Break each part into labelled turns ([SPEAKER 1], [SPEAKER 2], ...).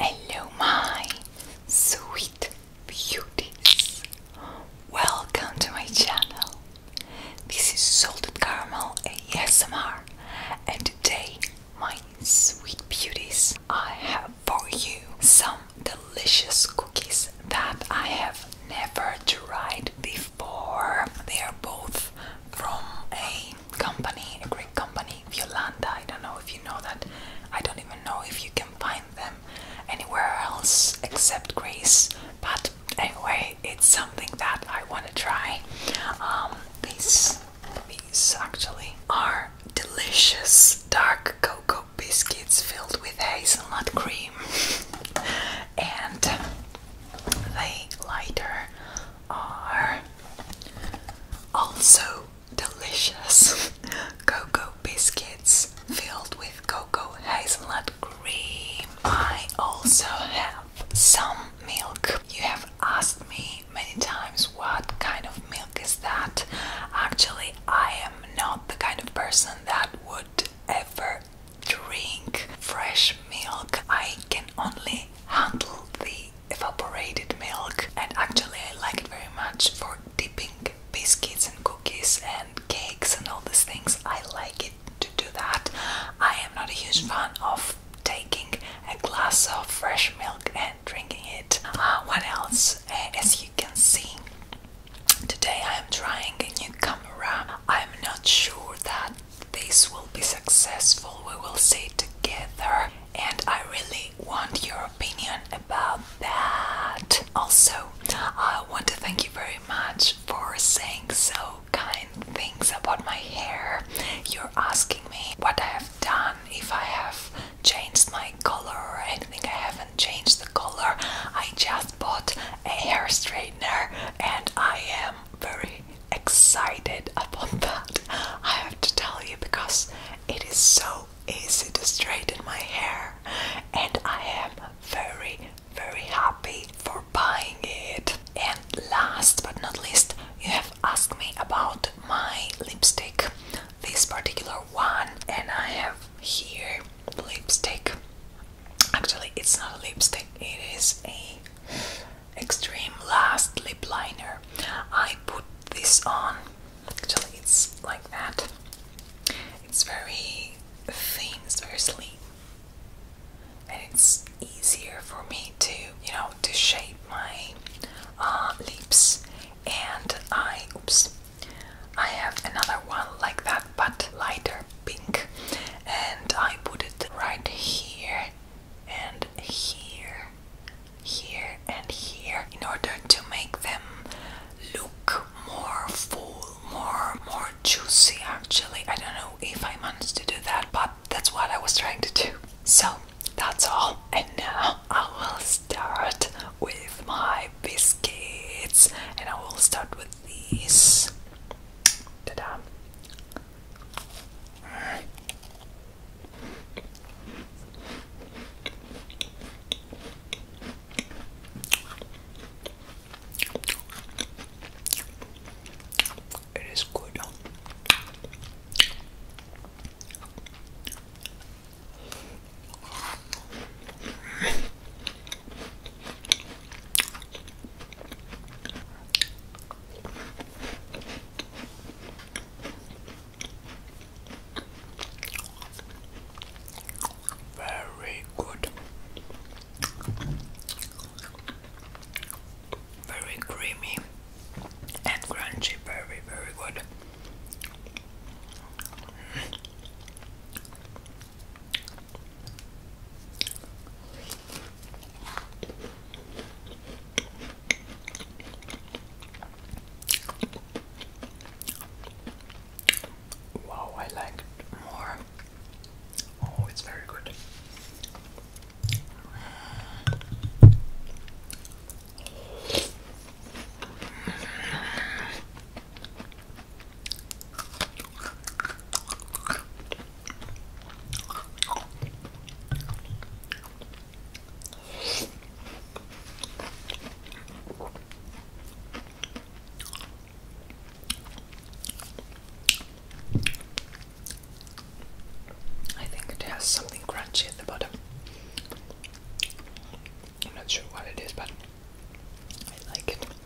[SPEAKER 1] Hello, my sweet beauties. Welcome to my channel. This is Salted Caramel ASMR, and today, my sweet beauties, I have for you some delicious cookies that I have never tried before. They are both from a company, a Greek company, Violanda. I don't know if you know that. I don't even know if you can find them anywhere else except Greece. But anyway, it's something that I want to try. Um, these, these actually are delicious dark cocoa biscuits filled with hazelnut cream. and they lighter are also delicious cocoa biscuits filled with cocoa hazelnut cream. I also have some milk. You have asked me many times what kind of milk is that. Actually, I am not the kind of person that would ever drink fresh milk. I can only handle the evaporated milk, and actually, I like it very much for dipping biscuits and cookies and cakes and all these things. I like it to do that. I am not a huge fan of taking a glass of fresh milk and drinking it. Uh, what else? Uh, as you can see, today I am trying a new camera. I'm not sure that this will be successful, we will see together, and I really want your opinion about that. Also, I want to thank you very much for saying so kind things about my hair. You're asking me what I have done, if I have changed my color or anything. I haven't changed the color, I just bought a hair straightener and I am very excited about that, I have to tell you, because it is so easy to straighten my hair, and I am very, very happy for buying it. And last but not least, you have asked me about my lipstick, this particular one, and I have here lipstick Actually, it's not a lipstick, it is a extreme last lip liner. I put this on. Actually, it's like that. It's very thin, it's very slim. And it's easier for me to, you know, to shape my uh, lips. And I, oops, I have another one like that, but lighter pink and I put it right here and here here and here in order to make them look more full more more juicy actually I don't know if I managed to do that but that's what I was trying to do so that's all and now I will start with my biscuits and I will start with these Ta-da. It is good. Very good. Very creamy and crunchy, very, very good. Wow, I like more. Oh, it's very good. I think it has something crunchy at the bottom. I'm not sure what it is, but I like it.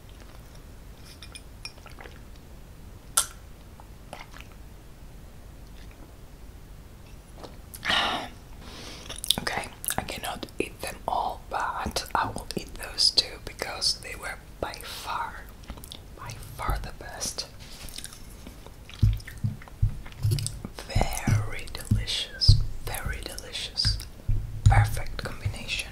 [SPEAKER 1] okay, I cannot eat them all, but I will eat those two because they were by far, by far the best. Very delicious, very delicious, perfect combination.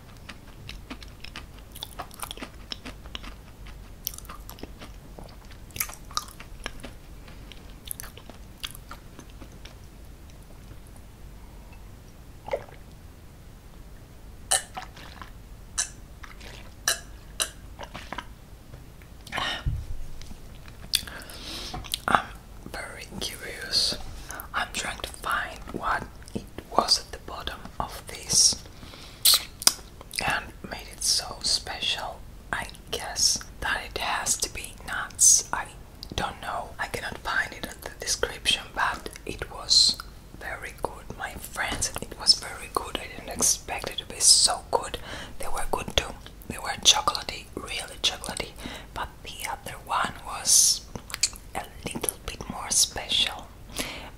[SPEAKER 1] I'm very curious. I'm trying to find what it was at the bottom of this and made it so special. I guess that it has to be nuts. I don't know. I cannot find it in the description, but it was very good, my friends. It was very good. I didn't expect it to be so good. They were good too. They were chocolaty, really chocolaty. but the other one was a little bit more special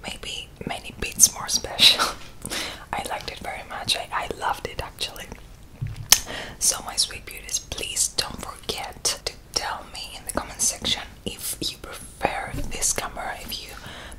[SPEAKER 1] maybe many bits more special. I liked it very much. I, I loved it actually. So, my sweet beauties, please don't forget to tell me in the comment section if you prefer this camera, if you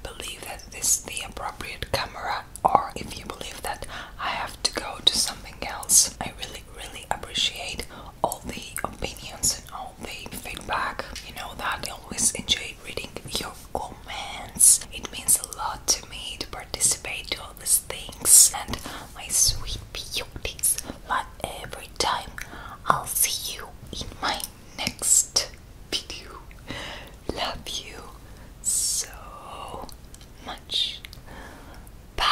[SPEAKER 1] believe that this is the appropriate camera, or if you believe that I have to go to something else. I really, really appreciate all the opinions and all the feedback. You know that always enjoy reading your comments. It means a lot to me to participate in all these things. And my sweet beauties, like every time, I'll see you in my next video. Love you so much. Bye.